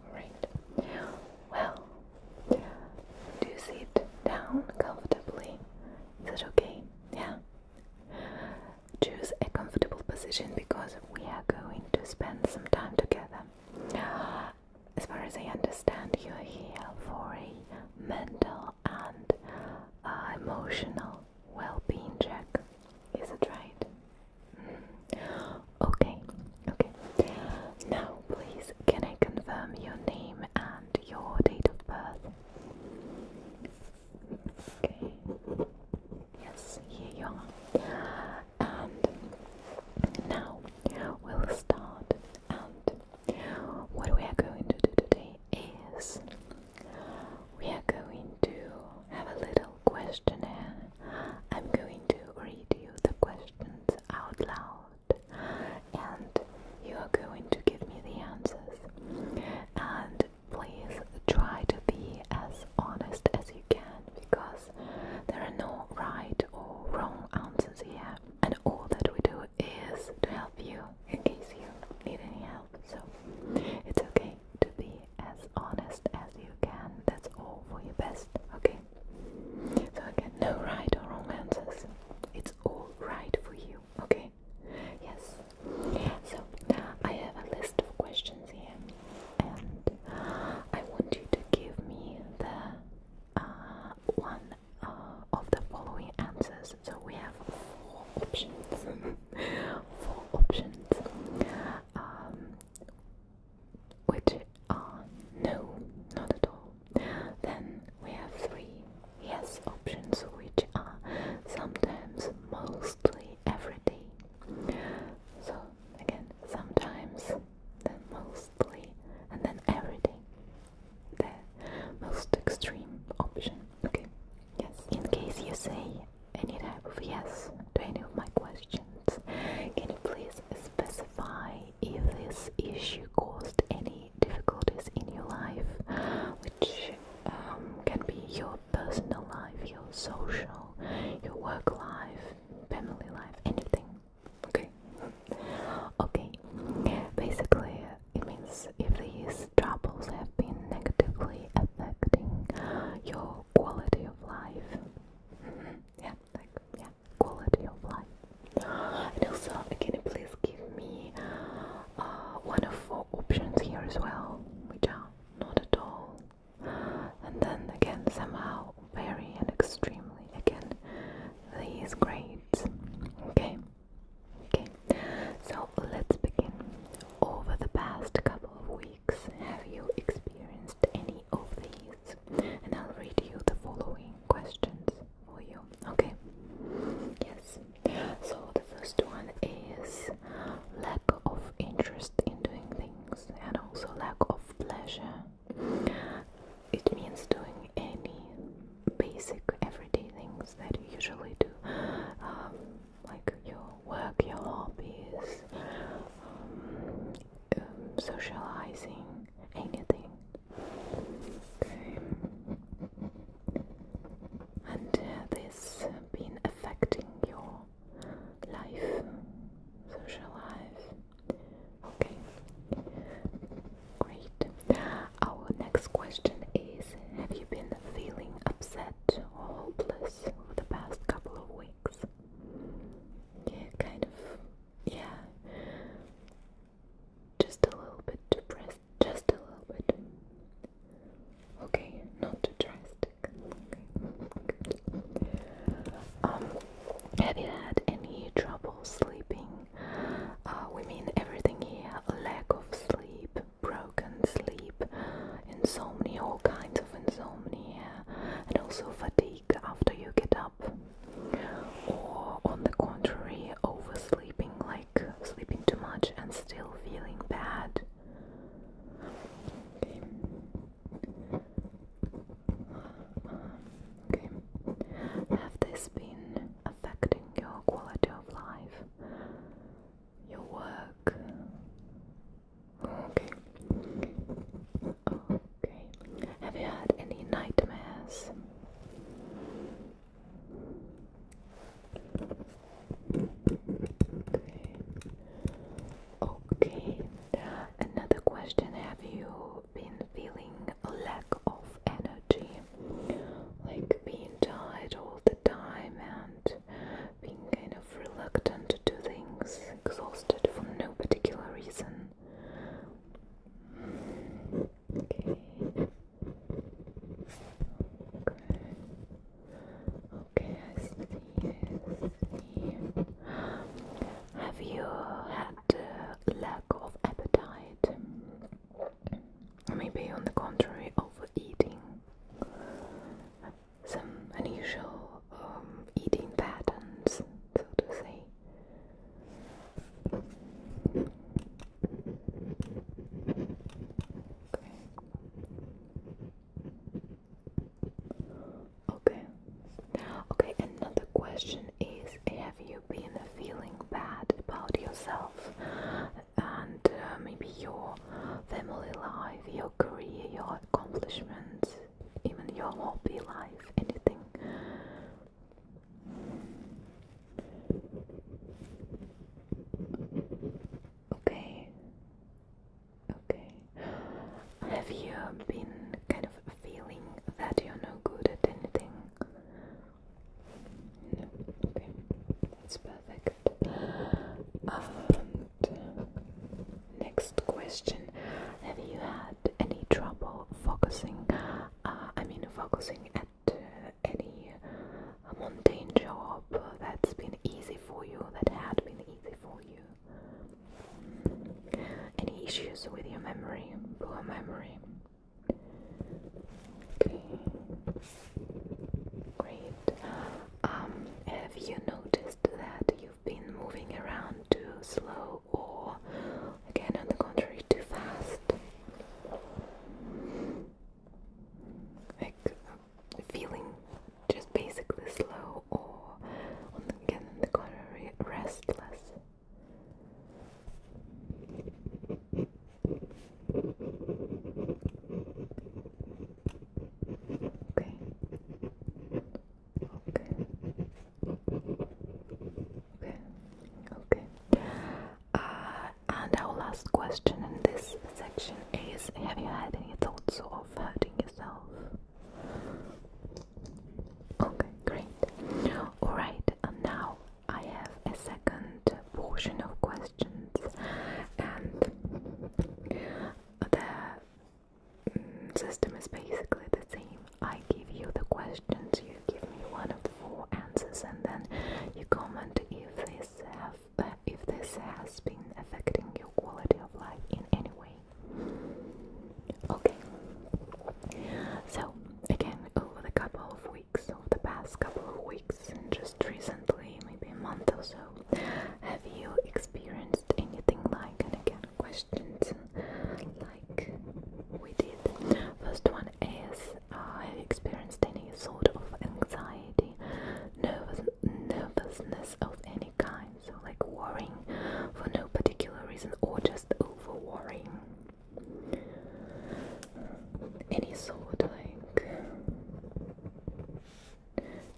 Alright. Well, do sit down comfortably. Is that Yeah. Choose a comfortable position because we are going to spend some time together. As far as I understand, you're here for a mental and uh, emotional well-being check. Is it right? Mm-hmm. Okay, okay. Now, please, can I confirm your name and your date of birth? Okay. Yes, here you are. And now we'll start. And what we are going to do today is we are going to have a little questionnaire. I'm going to read you the questions out loud, and you are going to give me the answers. And please try to be as honest as you can because there are no right or wrong answers here, and all that we do is to help you in case you need any help. So it's okay to be as honest as you can. That's all for your best, okay? So again, no right or wrong answers. It's all right for you, okay? Yes. So I have a list of questions here, and I want you to give me the uh, one uh, of the following answers. So we have four options. four options. Um, which are no, not at all. Then we have three yes options, which are sometimes, mostly, every day. So again, sometimes, then mostly, and then every day. The most extreme option. Okay. Yes. In case you say any type of yes to any of my questions. Can you please specify if this issue caused any difficulties in your life, which um, can be your personal life, your social, your work life, family life, anything? Okay. Okay. Basically, it means if these troubles have been negatively affecting your quality of life. Mm-hmm. Yeah, like yeah, quality of life. And also, can you please give me uh, one of four options here as well, which are not at all, and then again somehow very and extremely again these grades. Okay. Okay, so let's begin. Over the past couple of weeks, have you experienced any of these? And I'll read you the following questions for you. Okay? Yes. So, the first one is lack of interest in doing things and also lack of pleasure. It means doing any basic everyday things that you usually do. Um, like your work, your hobbies, um, um, socializing, anything. Okay. And uh, this been affecting your life, social life. Okay. Great. Our next question is: Have you been feeling upset or hopeless? times the past couple of weeks. kind of. Yeah. Just a little bit depressed. Just a little bit. Okay, not too drastic. Um, have you had any trouble sleeping? Uh, we mean everything here lack of sleep, broken sleep, insomnia, all kinds of insomnia, and also fatigue after you get up. Or, on the contrary, oversleeping, like sleeping too much and still feeling bad. Okay. Okay. Have this been affecting your quality of life, your work, Okay. Okay. Have you had any nightmares? Okay. Okay. Another question. Have you been feeling a lack of energy? Like being tired all time and being kind of reluctant to do things, exhausted for no particular reason. Okay. Okay. I see. Have you had a lack of appetite? Maybe on the contrary, overeating some unusual um, eating patterns, so to say. Okay. Okay. Okay, another question is have you been feeling bad about yourself and uh, maybe your family life, your career, your accomplishments, even your hobby life, anything. Okay. Okay. Have you been kind of feeling that you're no good at anything? No. Okay. That's perfect. Um, Next question: Have you had any trouble focusing? Uh, I mean, focusing at uh, any mundane job that's been easy for you, that had been easy for you. Any issues with your memory, poor memory? Okay, great. Um, have you noticed? that you've been moving around too slow or, again, on the contrary, too fast? Like feeling just basically slow or, again, on the contrary, restless? Okay. Okay. Okay. Okay. Uh, and our last question in this section is: Have you had any thoughts of hurting yourself? Okay, great. All right, and now I have a second portion of questions, and the system is basically the same. I give you the questions, you give me one of the four answers, and then you comment if this have uh, if this has been affecting your quality of life in any way. Okay. So again, over the couple of weeks, over the past couple of weeks, and just recently, maybe a month or so, have you experienced? anything like and again questions like we did. First one is uh, have you experienced any sort of anxiety, nervous nervousness of any kind? So like worrying for no particular reason or just over worrying. Any sort like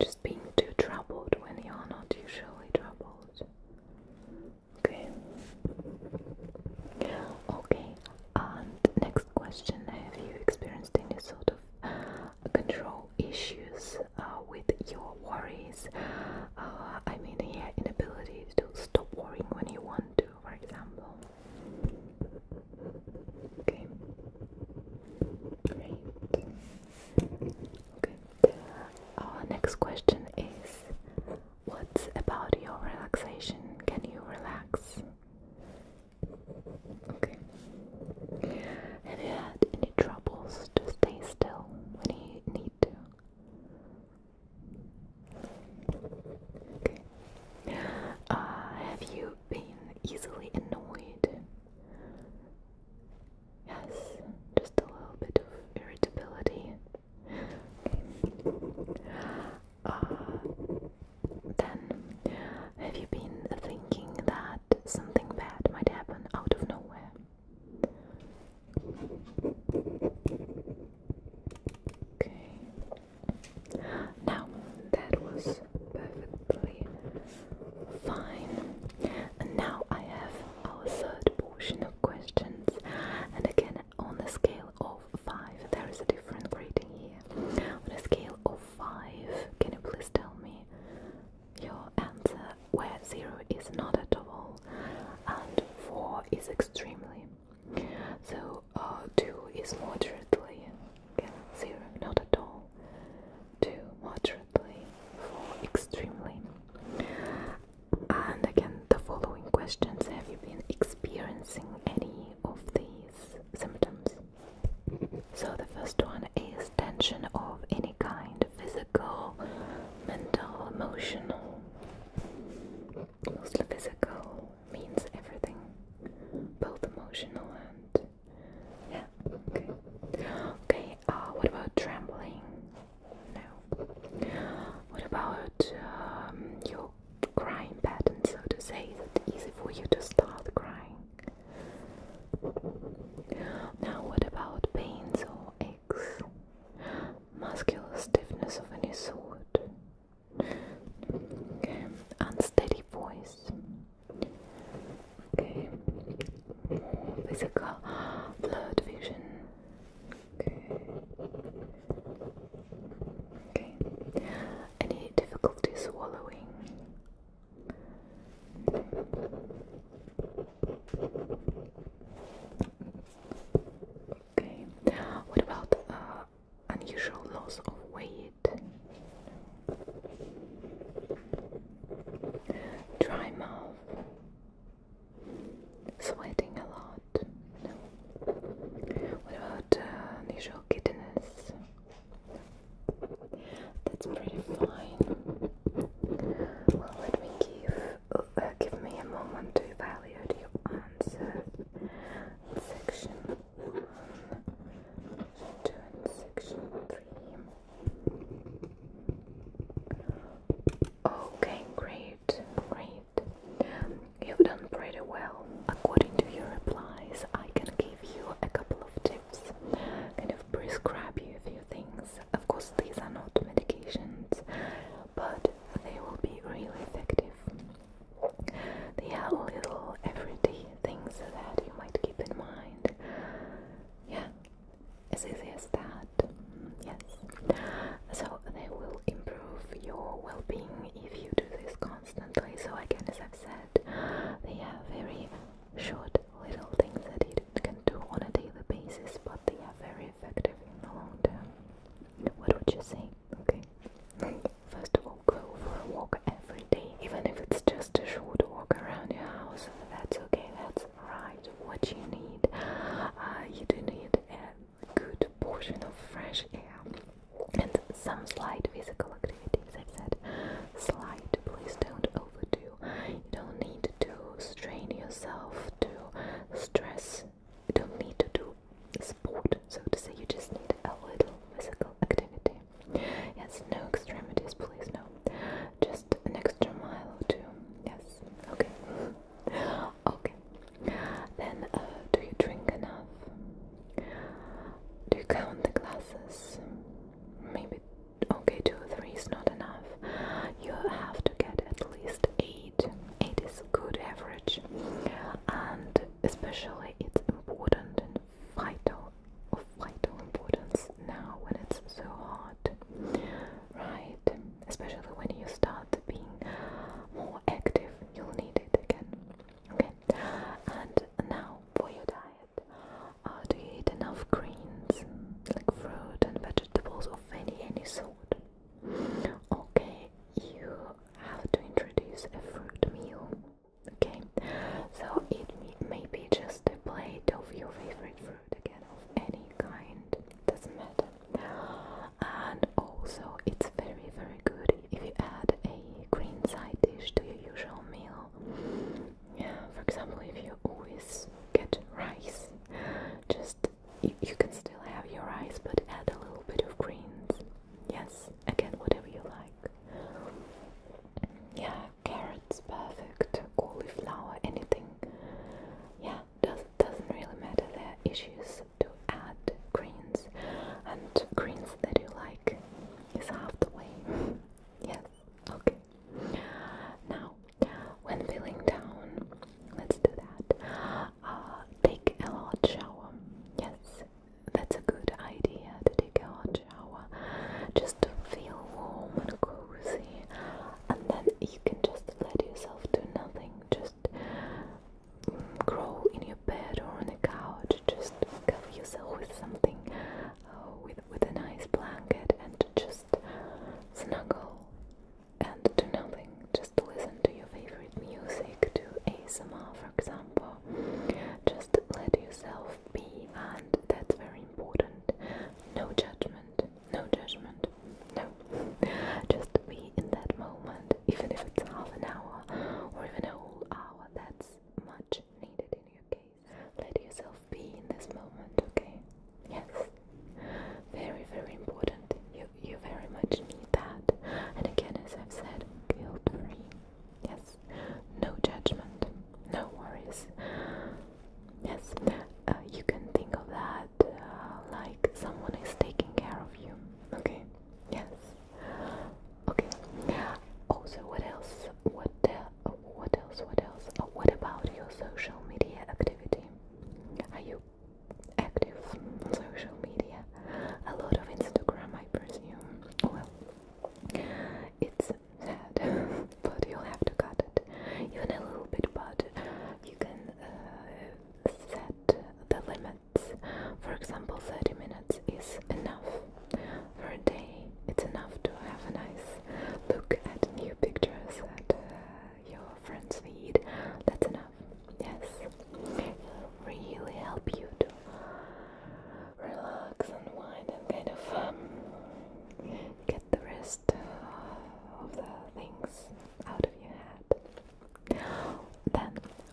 just being too troubled when you are not usually troubled. Okay. Okay. And next question: Have you experienced any sort of uh, control issues uh, with your worries? Uh, I mean, yeah, inability to stop worrying when you want to, for example. Okay. Great. Okay. Our next question is What's about your relaxation? Can you relax? Okay. Have you had any troubles to stay still when you need to? Okay. Uh, have you been easily annoyed? Yes, just a little bit of irritability. Uh, then, have you been thinking that something bad might happen out of nowhere? Okay. Now, that was perfect perfectly fine. And now I have our third portion of questions. And again, on a scale of 5, there is a different grading here. On a scale of 5, can you please tell me your answer where 0 is not at all and 4 is extremely? So uh, 2 is moderately, again, 0 not at all normal moderately for extremely. And again, the following questions Have you been experiencing any of these symptoms? So, the first one is tension of any kind physical, mental, emotional. Mostly physical means everything, both emotional and yeah. Okay. Okay. Uh, what about trembling? No. What about um, your crying pattern, so to say? Is it easy for you to start crying? Now, what about pains or aches? Muscular stiffness of any sort? Unsteady voice. Okay. physical blurred vision. Okay. Okay. Any difficulty swallowing? Okay. What about uh, unusual loss of weight? Dry mouth. Sweating a lot. No. What about uh, unusual nasal giddiness? That's pretty fine. Well, let me give uh, give me a moment to evaluate your answer. Section one, two, and section three. Okay, great, great. You've done pretty well. According to your replies, I can give you a couple of tips, kind of prescribe you a few things. Of course, these are not medications, but they will be really effective. They are little everyday things that you might keep in mind. Yeah, as easy as that. Yes. So they will improve your well-being if you do this constantly. So again, as I've said, they are very short little things that you can do on a daily basis, but they are very effective in the long term. What would you say? Okay. First of all, go for a walk every day, even if it's just a short walk around your house. That's okay. That's right what you need. Uh, you do need a good portion of fresh air and some slight physical activities. I said slight, please don't overdo. You don't need to strain yourself, to stress. You don't need to do sport, so to say. You just need a little physical activity. Yes, no extremities, please, no. Just an extra mile or two. Yes. Okay. okay. Then, uh, do you drink enough? Do you count the glasses? Maybe. Okay, two or three is not enough. You have to get at least eight. Eight good average, and especially it's important vital of vital importance now when it's so hot, right? Especially when you start being more active, you'll need it again. Okay, and now for your diet. Uh, do you eat enough greens, like fruit and vegetables of any any sort? Okay, you have to introduce a fruit meal. Okay, so it may be just a plate of your favorite fruit again of any kind, doesn't matter. And also, it's very, very good if you add a green side dish to your usual meal. Yeah, for example, if you always get rice, just you, you can still have your rice, but add a little bit of greens. Yes, again, whatever you like. Yeah, carrots, perfect, cauliflower, anything. Yeah, does, doesn't really matter. There are issues to add greens, and greens that you like is half the way. yes, okay. Now, when feeling down, let's do that. Uh, take a hot shower. Yes, that's a good idea to take a hot shower just to feel warm and cozy and then you can just let yourself do nothing, just grow in your bed or on the couch, just cover yourself with something, uh, with, with a nice blanket, and just snuggle and do nothing, just listen to your favorite music, to ASMR, for example. Just let yourself be, and that's very important. No judgment, no judgment, no. Just be in that moment, even if it's half an hour or even a whole hour, that's much needed in your case. Let yourself be in this moment, okay? Yes. Very, very important. You you very much need that. And again, as I've said, guilt free. Yes. No judgment. No worries. Yes, uh, you can think of that uh, like someone is taking care of you. Okay. Yes. Okay. Also, what else? What What else? What else? Uh, what about your social media activity? Are you active on social media? A lot of Instagram, I presume. Well, it's sad but you'll have to cut it even a little bit, but you can uh, set the limits. For example, 30 minutes is enough. For a day, it's enough to have a nice look at new pictures at uh, your friend's feed. That's enough. Yes, it will really help you to relax and wind and kind of um, get the rest of the things out of your head. Then,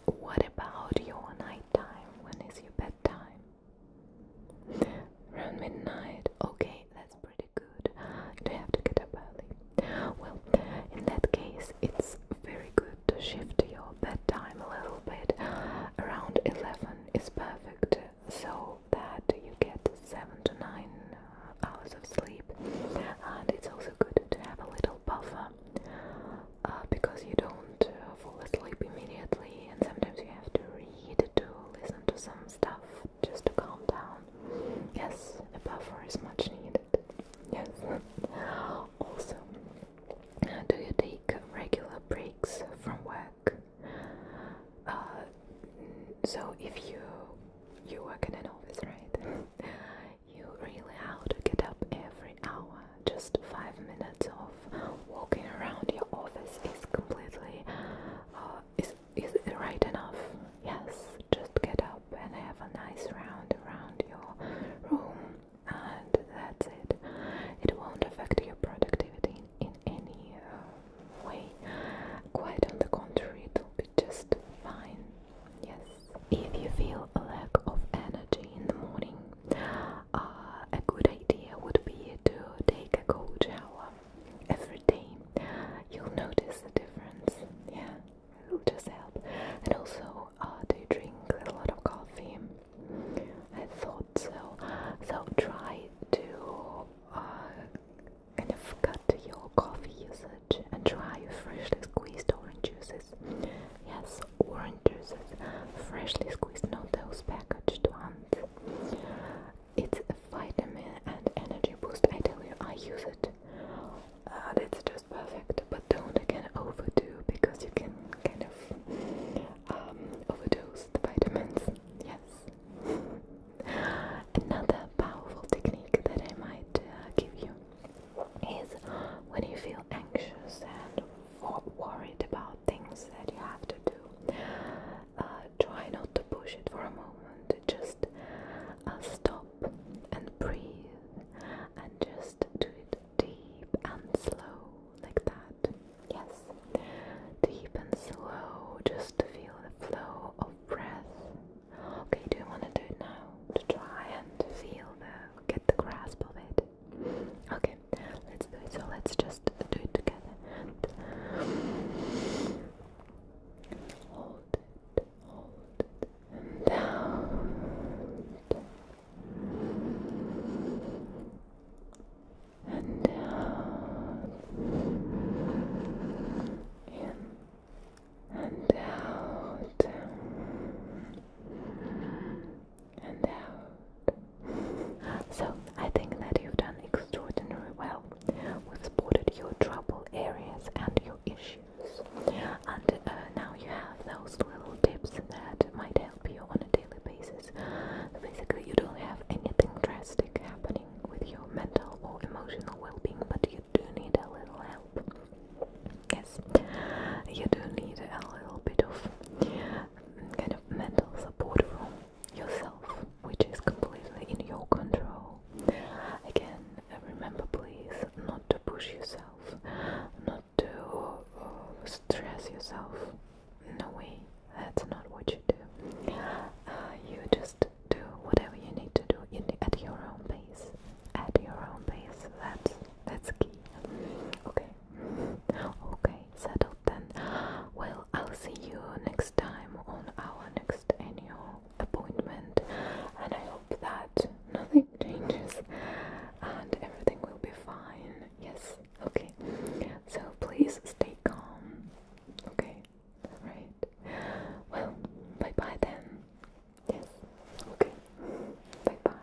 what about your nighttime? When is your bedtime? Around midnight. Okay, that's pretty good. you have to get up early? Well, in that case, it's very good to shift your bedtime a little bit. Around 11 is perfect so that you get seven to nine hours of sleep. And it's also good to have a little buffer uh, because you don't uh, fall asleep immediately, and sometimes you have to read to listen to some stuff just to calm down. Yes, a buffer is much needed. Yes. also, uh, do you take regular breaks from work? so if you you work in an office, right? you really have to get up every hour. Just five minutes of walking around your office is completely uh, is is right enough? Yes. Just get up and have a nice round around your room, and that's it. It won't affect your productivity in any uh, Wait. Quite on the contrary, it'll be just fine. Yes. If you feel a lack of energy in the morning, uh, a good idea would be to take a cold shower every day. You'll notice the difference. Yeah, it'll just help. And also, uh, drink a lot of coffee? I thought so. So try to uh, Kind of cut your coffee usage and try freshly squeezed orange juices. Yes, orange juices, freshly squeezed, not those packaged ones. It's a vitamin and energy boost. I tell you, I use it. Uh, it's just perfect, but don't again overdo because you can kind of um, overdose the vitamins. Yes. Another powerful technique that I might uh, give you is when you feel anxious and worried about things that you have to do, uh, try not to push it for a moment. Just uh, stop and breathe and just do it deep and slow, like that. Yes, deep and slow, just to feel the flow of breath Okay, do you want to do it now to try and feel the get the grasp of it? Okay, let's do it. So let's just do it together. And hold it, hold it, and out, and out, in and out and out. So I think that you've done extraordinary well. We've spotted your trouble areas and your issues, and uh, now you have those little tips that might help you on a daily basis. Basically, you don't have anything drastic happening with your mental or emotional well being, but you do need a little help. Yes, you do need a little bit of kind of mental support from yourself, which is completely in your control. Again, remember please not to push yourself, not to uh, stress yourself. in No way, that's not what you do. Uh, you just do whatever you need to do at your own pace. At your own pace. That's that's key. Okay. Okay. Settled then. Well, I'll see you next time on our next annual appointment, and I hope that nothing changes and everything will be fine. Yes. Okay. So please stay calm. Okay. Right. Well, bye bye then. Yes. Okay. Bye bye.